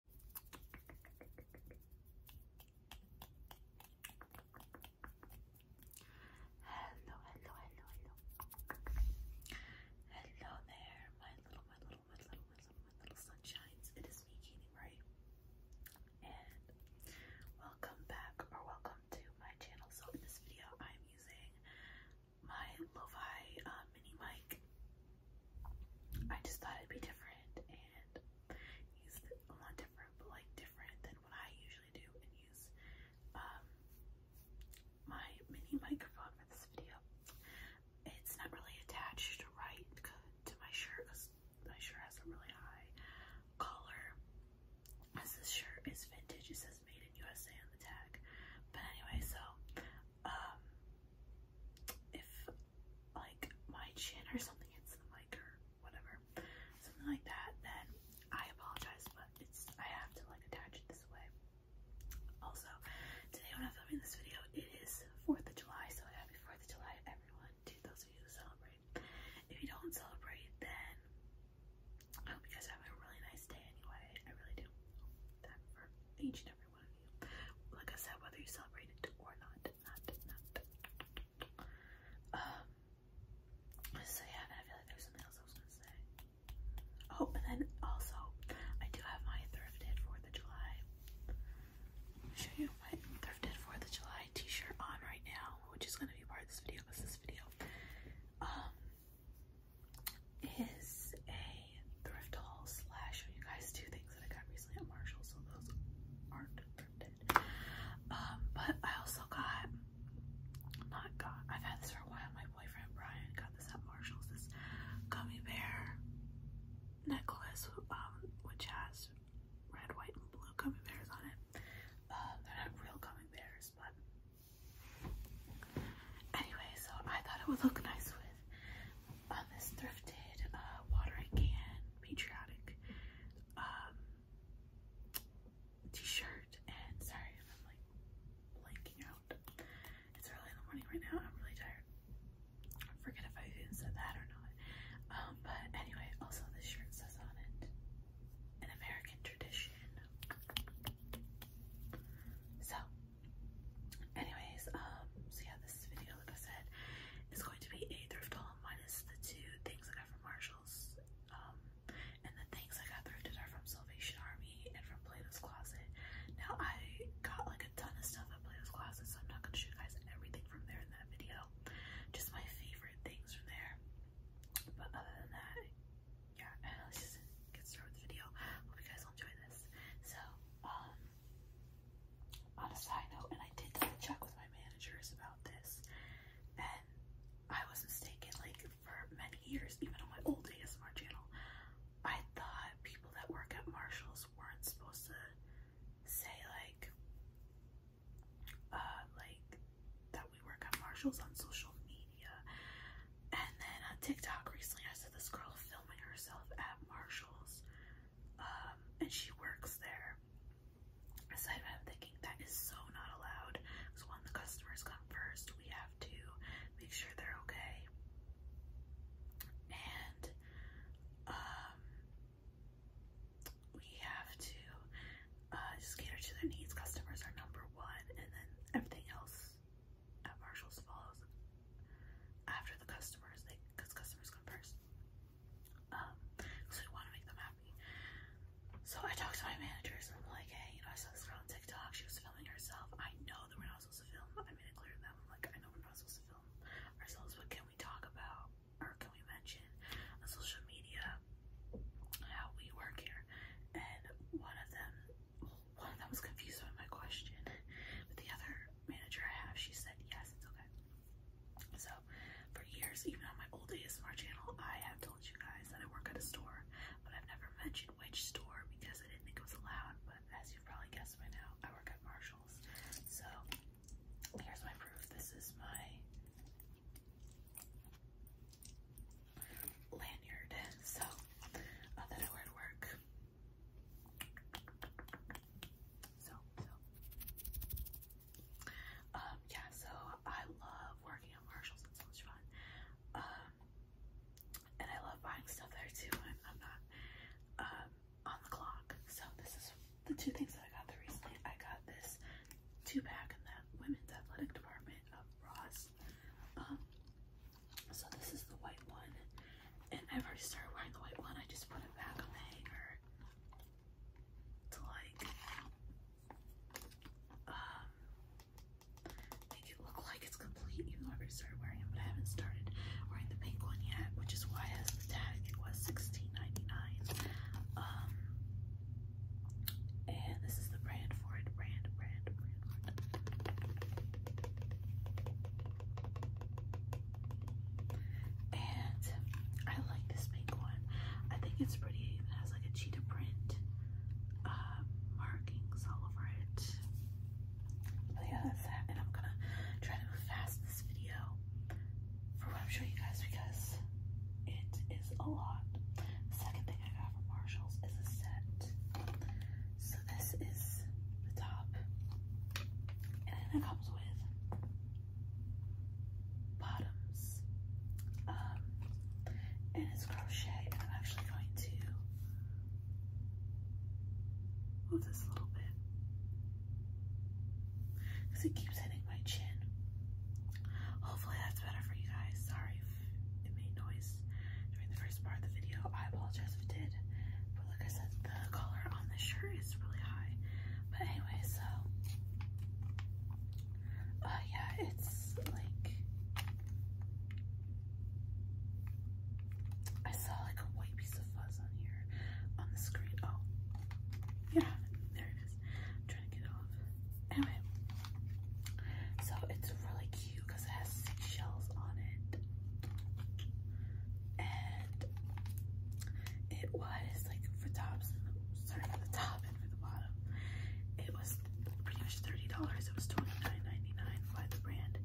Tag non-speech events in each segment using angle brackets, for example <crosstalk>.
Hello, hello, hello, hello. Hello there, my little, my little, my little, my little, my little sunshines. It is me, Katie Murray. And welcome back or welcome to my channel. So in this video I'm using my lo uh, mini mic I just thought it'd be different and use the, well not different but like different than what I usually do and use um my mini microphone for this video. It's not really attached right to my shirt because my shirt has a really high collar. As this shirt is vintage, it says made in USA on the tag. But anyway, so um, if like my chin or something hits the mic or whatever, something like that, then I apologize, but it's I have to like attach it this way. Also, today when I'm filming this video, it is 4th of July, so happy 4th of July everyone, to those of you who celebrate. If you don't celebrate, then I hope you guys have a really nice day anyway. I really do. That for each and every one of you. Like I said, whether you celebrate it or not, not, not. Um. So yeah, and I feel like there's something else I was gonna say. Oh, and then also, I do have my thrifted Fourth of July. I'll show you my thrifted Fourth of July T-shirt on right now, which is gonna be part of this video because this video um is a thrift haul slash you guys two things that I got recently at Marshall, so those aren't thrifted. Um, but I also got not got I've had this for a while. My boyfriend Brian got this at Marshall's this gummy bear necklace um which has red, white, and blue gummy bears on it. Um, they're not real gummy bears, but anyway, so I thought it would look nice with on um, this thrifted uh, watering can patriotic um, t-shirt and sorry if I'm like blanking out. It's early in the morning right now. I'm really tired. I forget if I even said that or not. Um, but anyway, also this shirt says on it, an American tradition. So, anyways, um, so yeah, this video deal, like I said, is going to be a thrift haul minus the two things I got from Marshalls. Um, and the things I got thrifted are from Salvation Army and from Plato's Closet. Now, I got like a ton of stuff at Plato's Closet, so I'm not going to show you guys everything from there in that video. Just my favorite things from there. But other than that, yeah, <laughs> let's just get started with the video. Hope you guys enjoy this. So, um, on a side note, and I did double check with my managers about this, and I was mistaken. Like for many years, even on my old ASMR channel, I thought people that work at Marshalls weren't supposed to say like, uh, like that we work at Marshalls on social media. And then on TikTok recently, I saw this girl filming herself at Marshalls um, and she works there. Aside from thinking that is so not allowed, because when the customers come first, we have to make sure they're okay. And um, we have to uh, just cater to their needs. Customers are number one, and then everything else at Marshalls follows after the customers, they because customers come first. Um, so we want to make them happy. So I talked to my managers and I'm like, hey, you know, I saw this girl on TikTok. She was filming herself. I know that we're not supposed to film. I made it clear to them. I'm like, I know we're not supposed to film ourselves, but can we talk about or can we mention on social media how we work here? And one of them, one of them was confused by my question, but the other manager I have, she said yes, it's okay. So for years, even on my old ASMR channel, I have told you guys that I work at a store, but I've never mentioned which store because I didn't think it was allowed. But as you've probably guessed by now, I work at Marshalls. So here's my proof. This is my lanyard. So uh, that I wear to work. So, so. Um, yeah, so I love working on Marshalls. It's so much fun. Um, and I love buying stuff there too when I'm not um, on the clock. So this is the two things that I got there recently. I got this two-pack in that women's athletic department of Ross. Um, so this is the white one and I've already started wearing the white one. I just put it back on the hanger to like um, make it look like it's complete, even though I've already started wearing it. But I haven't started wearing the pink one yet, which is why it has the tag. It was 16 um, and this is the brand for it. brand, brand. brand. And I like this pink one. I think it's pretty. It has like a cheetah print uh, markings all over it. Oh, yeah, that's that. And I'm gonna try to fast this video for what I'm showing you guys because it is a lot. second thing I got from Marshalls is a set. So this is the top, and then it comes with bottoms. Um, and it's crochet, and I'm actually going to move this a little bit because it keeps hitting my chin. Hopefully, that's better for you guys. Sorry if it made noise during the first part of the video. I apologize if it did, but like I said, the collar on the shirt is really high. But anyway, so uh, yeah, it's like I saw like a white piece of fuzz on here on the screen. Oh, yeah, there it is. I'm trying to get it off. Anyway, so it's really cute because it has seashells on it, it was like for tops, sorry for the top and for the bottom, it was pretty much thirty dollars. It was twenty nine ninety nine by the brand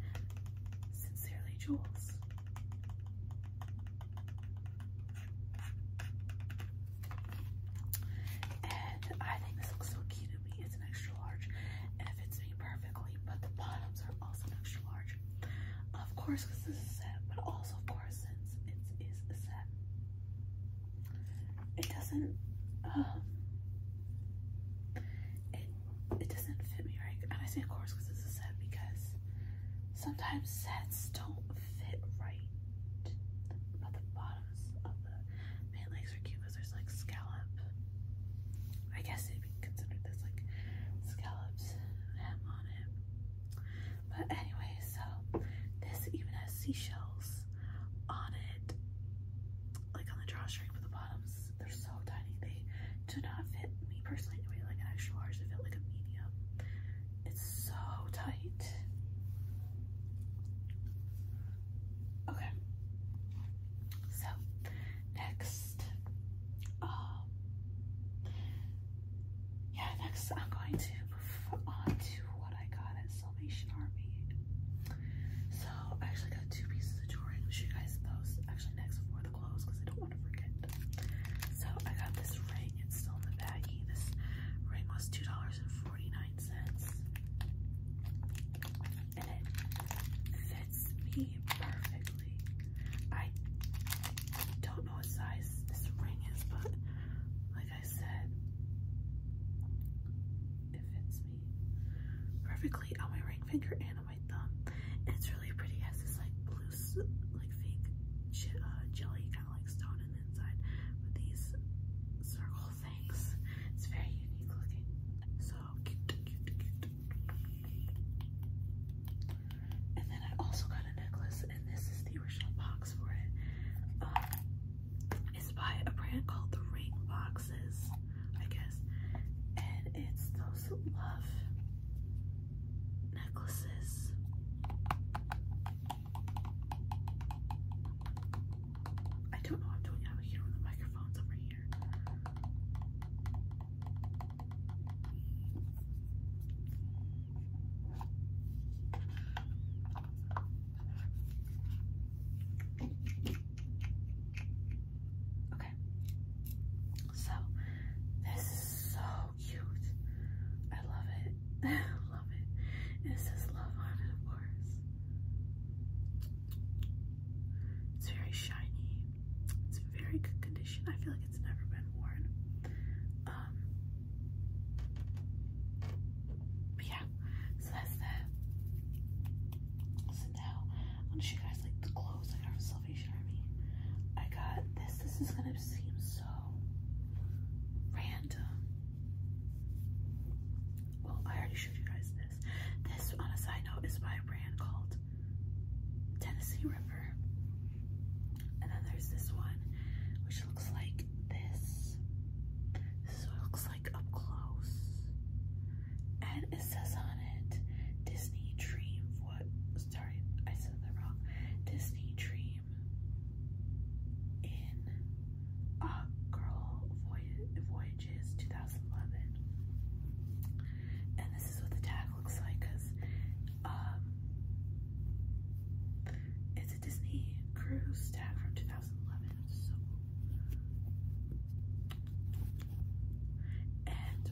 Sincerely Jewels. And I think this looks so cute It's an extra large and it fits me perfectly, but the bottoms are also an extra large. Of course, because this is set, but also, of course, since it is a set, it doesn't, um, it, it doesn't fit me right. And I say, of course, because it's a set, because sometimes sets don't fit right. But the bottoms of the pant legs are cute because there's like scallop. I guess it considered as like scallops ham on it. But anyway, so this even has seashells on it, like on the drawstring for the bottoms. They're so tiny. They do not fit me personally anyway, like an extra large. They fit like a medium. It's so tight. Okay. So next um, yeah, next I'm going to move on to what I got at Salvation Army. So I actually got two pieces of jewelry, which you guys post actually next before the clothes because I don't want to forget. So I got this ring, it's still in the baggie. This ring was two dollars and forty nine cents, and it fits me perfectly. I don't know what size this ring is, but like I said, it fits me perfectly on my ring finger and on my thumb. And it's really pretty. It has this like blue, like fake uh, jelly kind of like stone in the inside with these circle things. It's very unique looking. So cute, cute, cute. And then I also got a necklace, and this is the original box for it. Um, it's by a brand called The Ring Boxes, I guess. And it's those love necklaces. I don't know I'm doing. i here the microphones over here. Okay. So this is so cute. I love it. <laughs> love it. It says love on it, of course. It's very shiny. It's in very good condition. I feel like it's never been worn. Um, but yeah, so that's that. So now I'm gonna show you guys like the clothes I got from Salvation Army. I got this. This is gonna seem so random. Well, I already showed you guys this. This, on a side note, is by a brand called Tennessee River. And then there's this one, which looks like this. This looks like up close. And it says on it, Disney Dream. What? Sorry, I said that wrong. Disney Dream in uh, Girl Voyages 2011. And this is what the tag looks like because um, it's a Disney cruise tag from 2011. So, and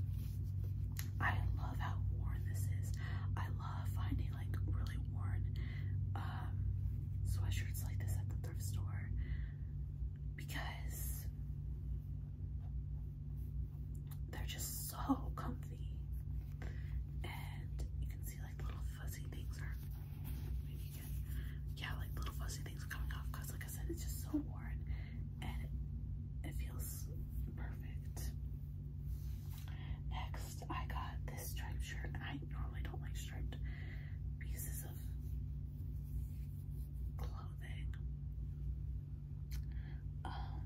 I love how worn this is. I love finding like really worn um, sweatshirts like this at the thrift store because they're just so comfy. And you can see like little fuzzy things are yeah, like little fuzzy things are coming off because like I said it's just so warm, and it, feels perfect. Next I got this striped shirt. I normally don't like striped pieces of clothing. Um,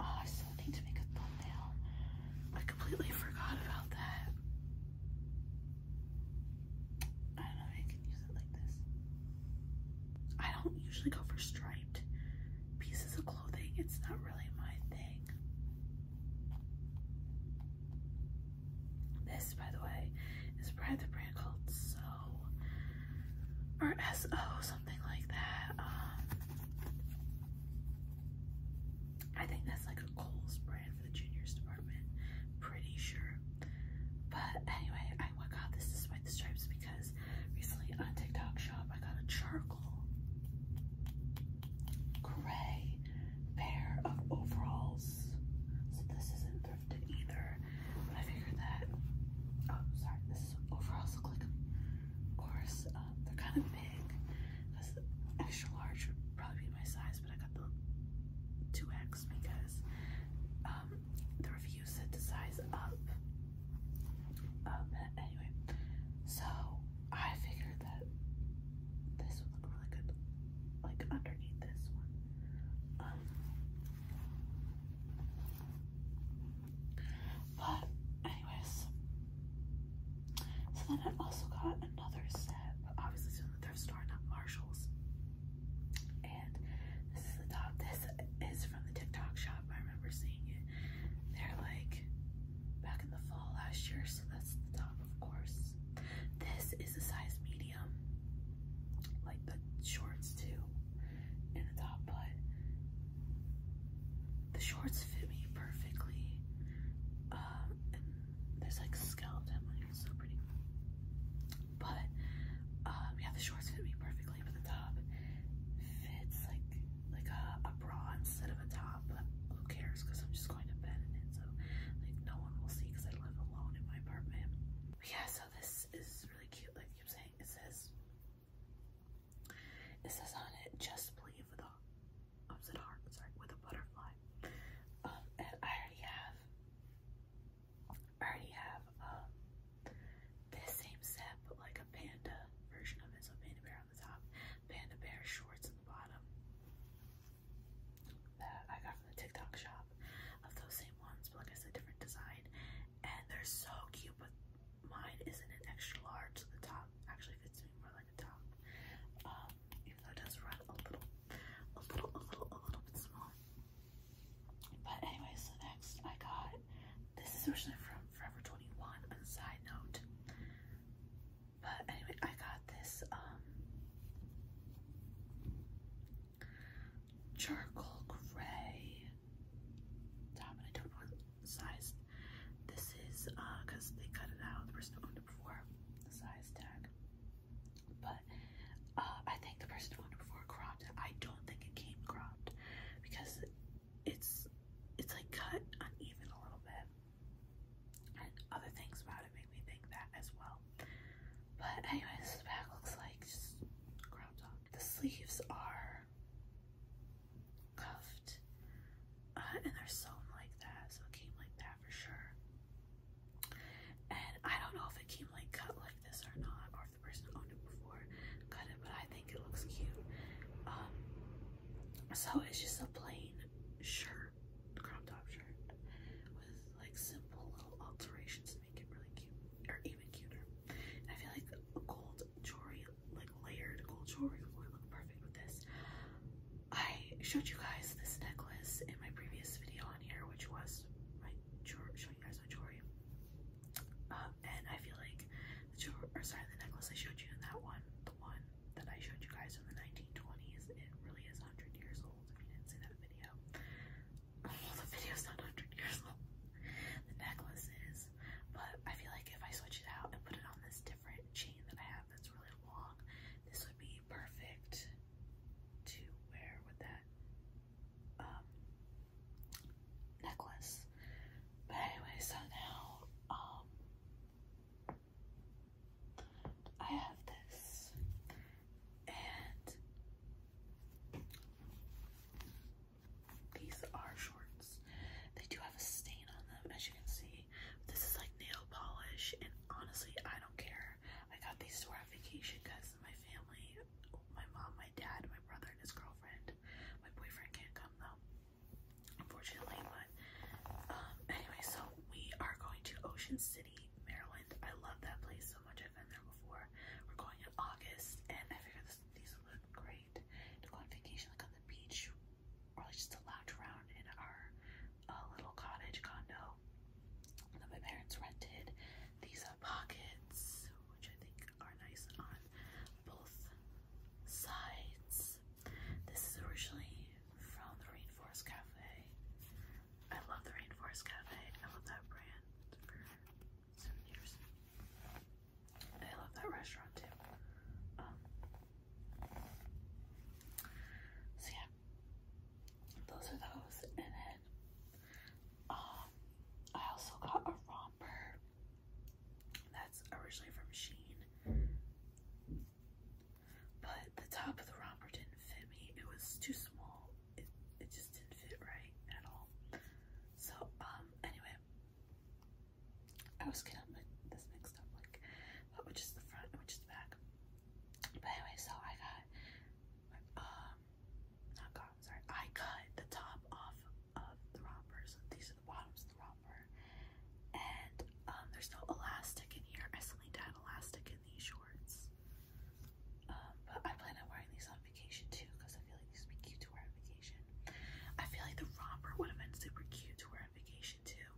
Oh, I still need to make a thumbnail. I completely forgot about that. I don't know if I can use it like this. I don't usually go for striped pieces of clothing. It's not really my thing. This, by the way, is by the brand called So or SO, something like that. Um, I think that's like a Kohl's brand for the juniors department, pretty sure. But anyway, I oh got this despite the stripes because recently on TikTok shop I got a charcoal gray pair of overalls. So this isn't thrifted either, but I figured that. Oh, sorry, this is overalls look like of course, uh, they're kind of big. Because extra large would probably be my size, but I got the 2X because um, the review said to size up. Um, anyway, so I figured that this would look really good, like underneath this one. Um, but anyways, so then I also got another set, obviously from the thrift store, not Marshalls. And this is the top. This is from the TikTok shop. I remember seeing it. They're like back in the fall last year, so that's the top, of course. This is a size medium, like the shorts too and a top, but the shorts fit me perfectly. Um, and there's like skeleton on so pretty. But um, yeah, the shorts fit me perfectly, but the top fits like like a, bra instead of a top. But who cares? Because I'm just going to bed in it, so like no one will see because I live alone in my apartment. yeah, so this is really cute. Like you keep saying, it says it says on it, just believe with a upset heart, sorry, with a butterfly. Um, I already have, I already have, um, this same set, but like a panda version of it. So panda bear on the top, panda bear shorts in the bottom. That I got from the TikTok shop of those same ones, but like I said, different design. And they're so cute, mine isn't an extra large, the top actually fits me more like a top. Um, even though it does run a little, a little, a little, a little bit small. But anyway, so next I got this is originally from Forever 21 on a side note. But anyway, I got this um charcoal gray top, and I don't know size this is because uh, they cut it out. The person who owned before the size tag, but uh, I think the person who owned before cropped I don't think it came cropped because it's it's like cut uneven a little bit, and other things about it make me think that as well. But anyways, the back looks like cropped The sleeves are cuffed, uh, and they're sewn like that, so it came like that for sure. And I don't know if it came like cut like this or not, or if the person owned it before cut it, but I think it looks cute. Um, so it's just a plain shirt, crop top shirt, with like simple little alterations to make it really cute, or even cuter. I feel like gold jewelry, like layered gold jewelry, would look perfect with this. I showed you guys this necklace in my previous video on here, which was my jewelry, showing you guys my jewelry. Um, and I feel like the sorry, the necklace I showed you in that one, the one that I showed you guys from the 1920s, it really is 100 years old. If you didn't see that video, <laughs> well, the is not 100 years old. The necklace is but I feel like if I switch it out and put it on this different chain that I have that's really long, this would be perfect to wear with that um, necklace. But anyway, so now um, I have this, and these are shorts. They do have a stain on them, as you can see. This is like nail polish, and honestly, I don't care. I got these for wear vacation because my family, my mom, my dad, my brother, and his girlfriend, my boyfriend can't come though, unfortunately. But um, anyway, so we are going to Ocean City, Maryland. I love that place so much. I've been there before. We're going in August, and I figured this this, these look great to go on vacation like on the beach or like just to lounge around in our uh, little cottage condo that my parents rented. These are pockets which I think are nice on both sides. This is originally from the Rainforest Cafe. I love the Rainforest Cafe. I love that brand for centimeters. I love that restaurant too. Um, so yeah, those are those. And then um, I also got a romper that's originally from Sheen, but the top of the romper didn't fit me. It was too small. It it just didn't fit right at all. So um, anyway, I was getting this mixed up, like, but which is the front which is the back. But anyway, so I got, um, not got, i sorry, I cut the top off of the rompers. these are the bottoms of the romper. And um, there's no elastic in here. I still need to add elastic in these shorts. Um, but I plan on wearing these on vacation too because I feel like these would be cute to wear on vacation. I feel like the romper would have been super cute to wear on vacation too.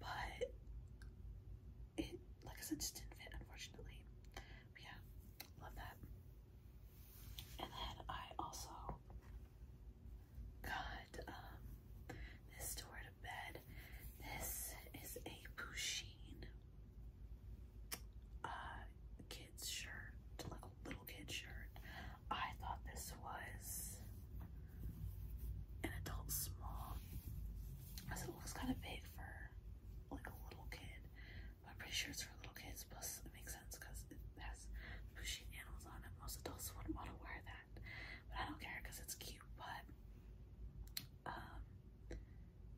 But it, like I said, just didn't fit, unfortunately. But yeah, love that. And then I also got um, this to wear to bed. This is a Pusheen uh, kid's shirt, like a little kid's shirt. I thought this was an adult small. I said it looks kind of big for like a little kid, but I'm pretty sure it's for little kids. Plus, it makes sense because it has bushy animals on it. Most adults wouldn't want to wear that, but I don't care because it's cute. But um,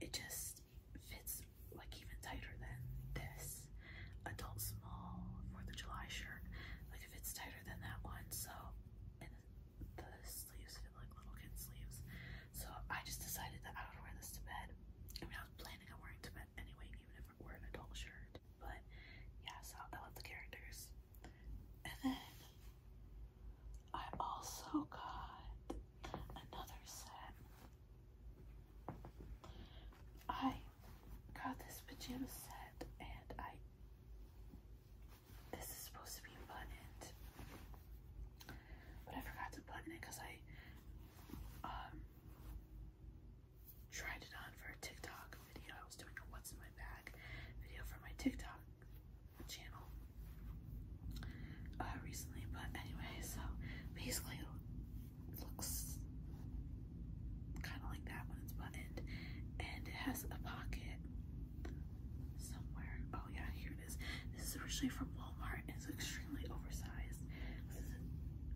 it just fits like even tighter than this adult small Fourth of July shirt. Like it fits tighter than that one, so and the sleeves fit like little kid sleeves. So I just decided that I would wear this to bed. I mean, I was planning on wearing it to bed anyway, even if it were an adult shirt. But yeah, so I love the characters. And then I also got another set I got this pajama set and I this is supposed to be buttoned. But I forgot to button it because I um tried it on for a TikTok video. I was doing a what's in my bag video for my TikTok channel uh recently. But anyway, so basically looks kind of like that when it's buttoned, and it has a pocket somewhere. Oh yeah, here it is. This is originally from Walmart. And it's extremely oversized. This is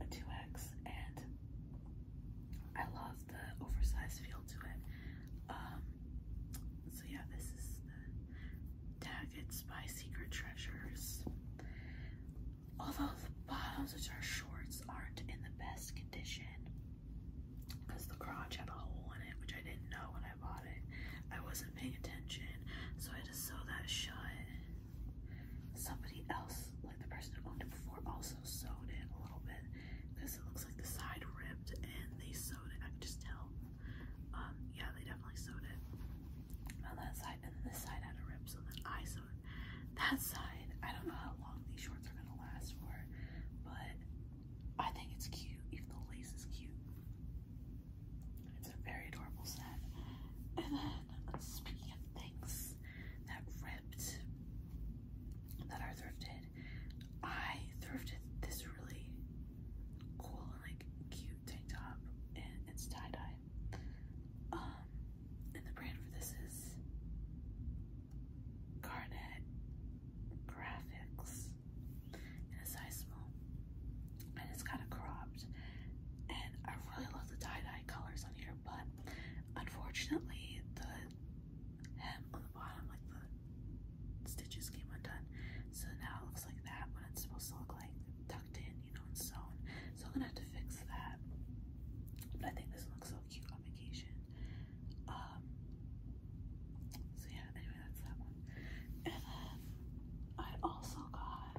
a 2x, and I love the oversized feel to it. Um, so yeah, this is the Tagged by Secret Treasures. Although the bottoms, which are shorts, aren't in the best condition because the crotch had a hole in it, which I didn't know when I bought it. I wasn't paying attention, so I just sewed that shut. Somebody else, like the person who owned it before, also sewed it a little bit because it looks like the side ripped and they sewed it. I could just tell. Um, yeah, they definitely sewed it on that side, and then this side had a rip, so then I sewed that side. I don't know how long these shorts are gonna last for, but I think it's cute, even the lace is cute. It's a very adorable set. And then, speaking of things that ripped, that are thrifted, I thrifted this really cool and like cute tank top, and it's tie dye. Um, and the brand for this is Garnet Graphics in a size small. And it's kind of cropped. And I really love the tie-dye colors on here, but unfortunately the hem on the bottom, like the stitches came undone. So now it looks like that when it's supposed to look like tucked in, you know, and sewn. So I'm gonna have to fix that. But I think this looks so cute on vacation. Um, so yeah, anyway, that's that And then I also got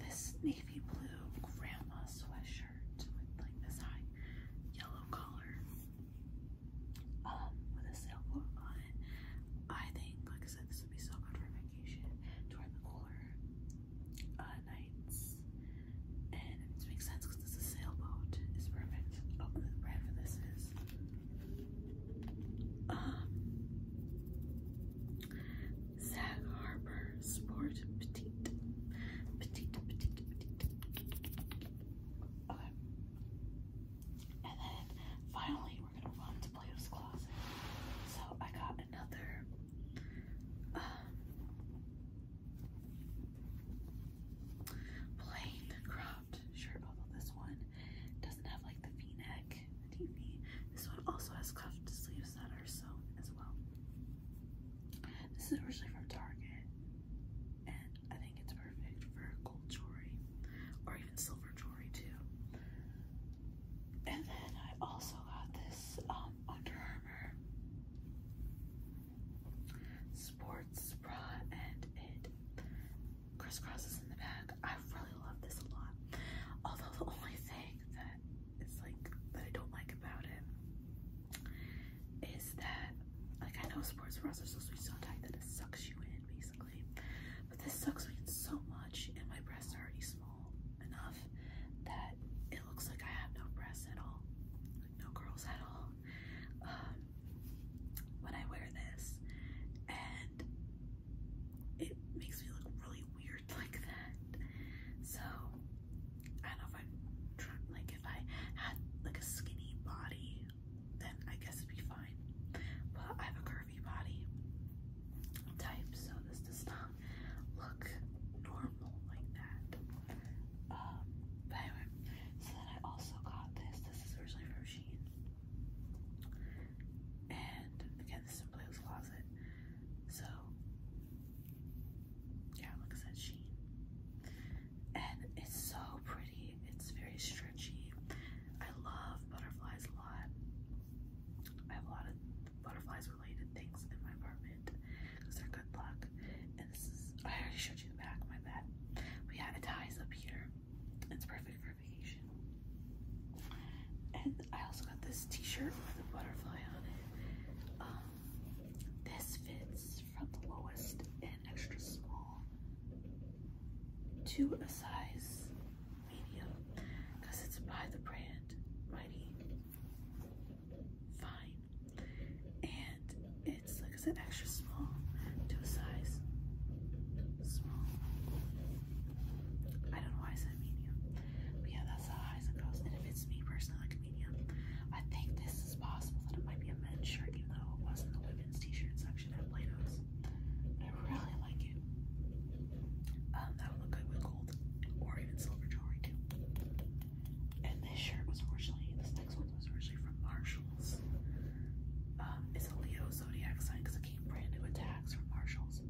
this navy blue grandma sweatshirt with like this high yellow collar. Um, with a sailboat on it. I think, like I said, this would be so good for vacation during the cooler uh, nights. And it makes sense because this is a sailboat. It's perfect. Oh, brand for this is. Um, Sag Harbor Sport Petite. Petite, petite, petite. Okay. And then finally, we're gonna want to play with claws. So I got another um, plain cropped shirt, although this one doesn't have like the v-neck, This one also has cuffed sleeves that are sewn as well. This is originally from Target I think it's perfect for gold jewelry or even silver jewelry too. And then I also got this um, Under Armour sports bra and it crisscrosses in the back. I really love this a lot. Although the only thing that is like that I don't like about it is that like I know sports bras are supposed to be so tight that it sucks you in, basically. But this sucks me in so much, and my breasts are already small enough that it looks like I have no breasts at all, no curls at all. when um, I wear this, and it makes me look really weird <laughs> like that. So I don't know if i like if I had like a skinny body then I guess it'd be fine. But I have a curvy body type, so this does not look normal like that. Um, but anyway, so then I also got this. This is originally from Shein. And again, this is in Blake's Closet. So, yeah, it looks said, Shein. And it's so pretty. It's very stretchy. I love butterflies a lot. I have a lot of butterflies related things in my apartment because they're good luck. And this is, I already showed you the back, of my bad. We have it ties up here. It's perfect for vacation. And I also got this t-shirt with a butterfly on it. Um, this fits from the lowest and extra small to a size medium because it's by the brand Mighty Fine. And it's, like it's an extra small to a size small. I don't know why I said medium. But yeah, that's how high it goes. And if it's me personally, like a medium, I think this is possible that it might be a men's shirt, even though it wasn't the women's t-shirt I really like it. Um, that would look good with gold or even silver jewelry too. And this shirt was originally, this next one was originally from Marshalls. Um, it's a Leo zodiac sign because it came brand new attacks from Marshalls.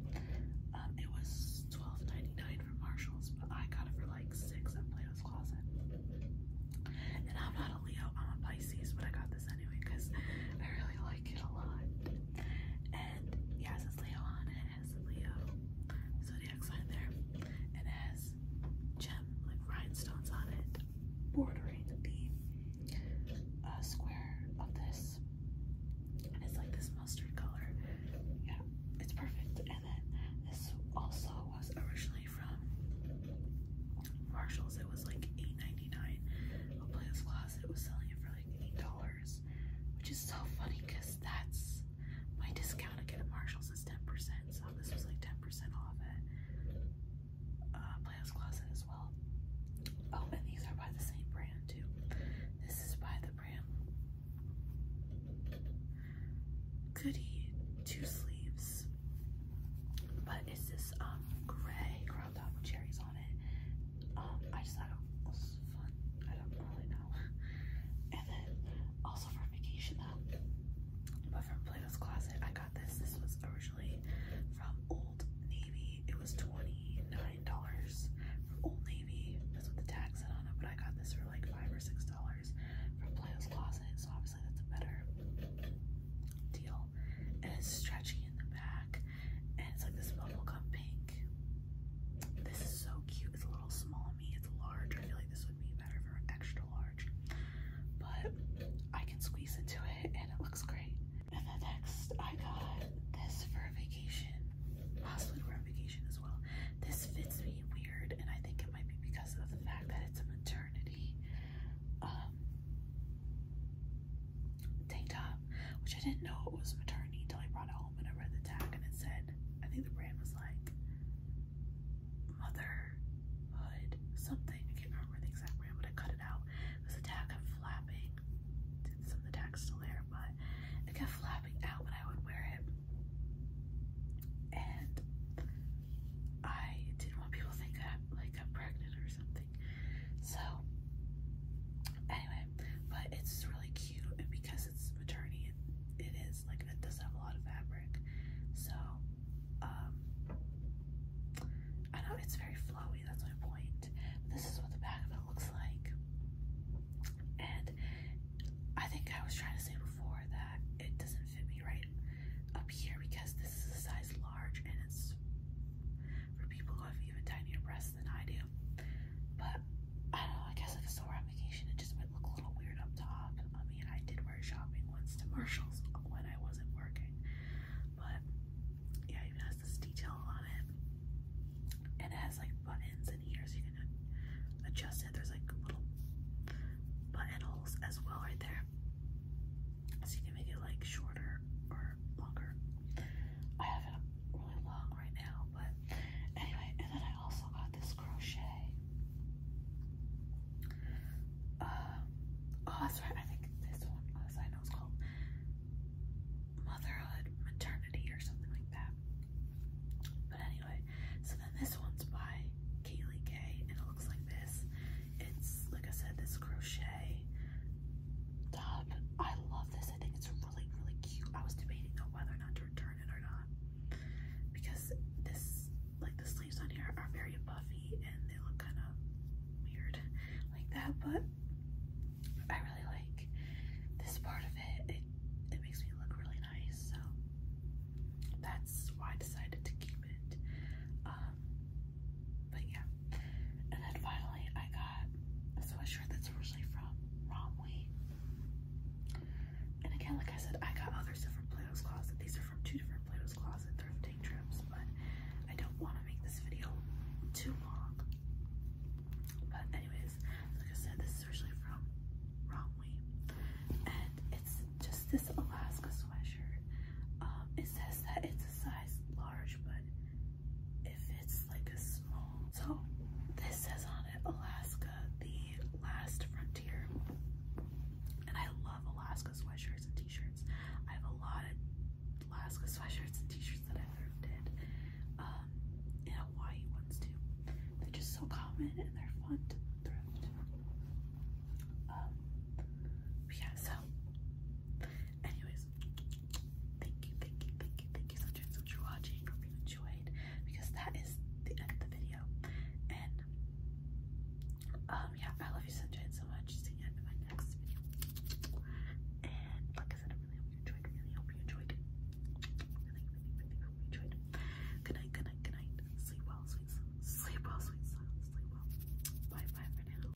Um, it was 12.99 from Marshalls, but I got it for like six at Plato's Closet. And I'm not a Leo, I'm a Pisces, but I got this anyway because I really like it a lot. And it has its Leo on it, has Leo zodiac sign there, and has gem like rhinestones on it, bordering the uh, square of this. And it's like this mustard color. Yeah, it's perfect. And then this also was originally from Marshalls. It was like 8 appliance closet was selling it for like eight dollars, which is so funny because that's my discount again at Marshalls is ten percent, so this was like ten percent off at uh, closet as well. Oh, and these are by the same brand too. This is by the brand Goody Two Sleeves, but it's this um gray cherries on it. Um, I just thought it was fun. I don't really know. <laughs> and then also for vacation though, but from Plato's Closet, I got this. This was originally from Old Navy. It was twenty nine dollars from Old Navy. That's with the tax on it. But I got this for like five or six dollars from Plato's Closet. So obviously that's a better deal and it's stretchy in the back and it's like this bubblegum pink. This is so cute. It's a little small on me. It's large. I feel like this would be better for extra large. But I can squeeze into it and it looks great. And then next I got this for a vacation. Possibly for a vacation as well. This fits me weird and I think it might be because of the fact that it's a maternity um, tank top, which I didn't know it was maternity until I brought it home and I read the tag and it said, I think the brand was like Motherhood something. I can't remember the exact brand, but I cut it out because the tag kept flapping. Some of the tag's still there, but it kept flapping out when I would wear it. And I didn't want people to think I like I'm pregnant or something. So anyway, but it's really cute and because it's maternity it, it is like it does have a lot of fabric. So um I know it's very flowy, that's my point. But this is what the back of it looks like. And I think I was trying to say before that it doesn't fit me right up here because this is a size large and it's for people who have even tinier breasts than I do. But I don't know, I guess if it's still on vacation, it just might look a little weird up top. I mean, I did wear shopping once to Marshalls when I wasn't working, but yeah, it even has this detail on it, and it has like buttons in here so you can adjust it. There's like little buttonholes as well right there so you can make it like shorter or longer. I have it really long right now, but anyway, and then I also got this crochet. Uh, oh, that's right, I think this one on I know it's called Motherhood Maternity or something like that. But anyway, so then this one's by Kaylee Kay, and it looks like this. It's like I said, this crochet top. I love this. I think it's really, really cute. I was debating on whether or not to return it or not because this, like the sleeves on here, are very buffy and they look kind of weird like that. But I really like this part of it. It it makes me look really nice. So that's why I decided to keep it. Um, but yeah. And then finally, I got a sweatshirt that's originally from Romwe. And again, like I said, I got others from Plato's Closet. These are from two different Plato's Closet thrifting trips, but I don't want to make this video too long. But anyways, like I said, this is originally from Romwe. And it's just this Alaska sweatshirt. Um, it says that it's a size large, but if it's like a small. So this says on it Alaska, the last frontier. And I love Alaska sweatshirts and t-shirts. I have a lot of Alaska sweatshirts and t-shirts that I thrifted. Um, Hawaii ones too. They're just so common and they're fun to thrift. Um, yeah, so Anyways, thank you, thank you, thank you, thank you so much, for watching. Hope you enjoyed because that is the end of the video. And um yeah, I love you sunshine so much. See you in my next video. And like I said, I really hope you enjoyed. Really hope you enjoyed. Really, really, really hope you enjoyed. Good night, good night, good night. Sleep well, sweet Sleep well, sweet Sleep well. Bye bye for now.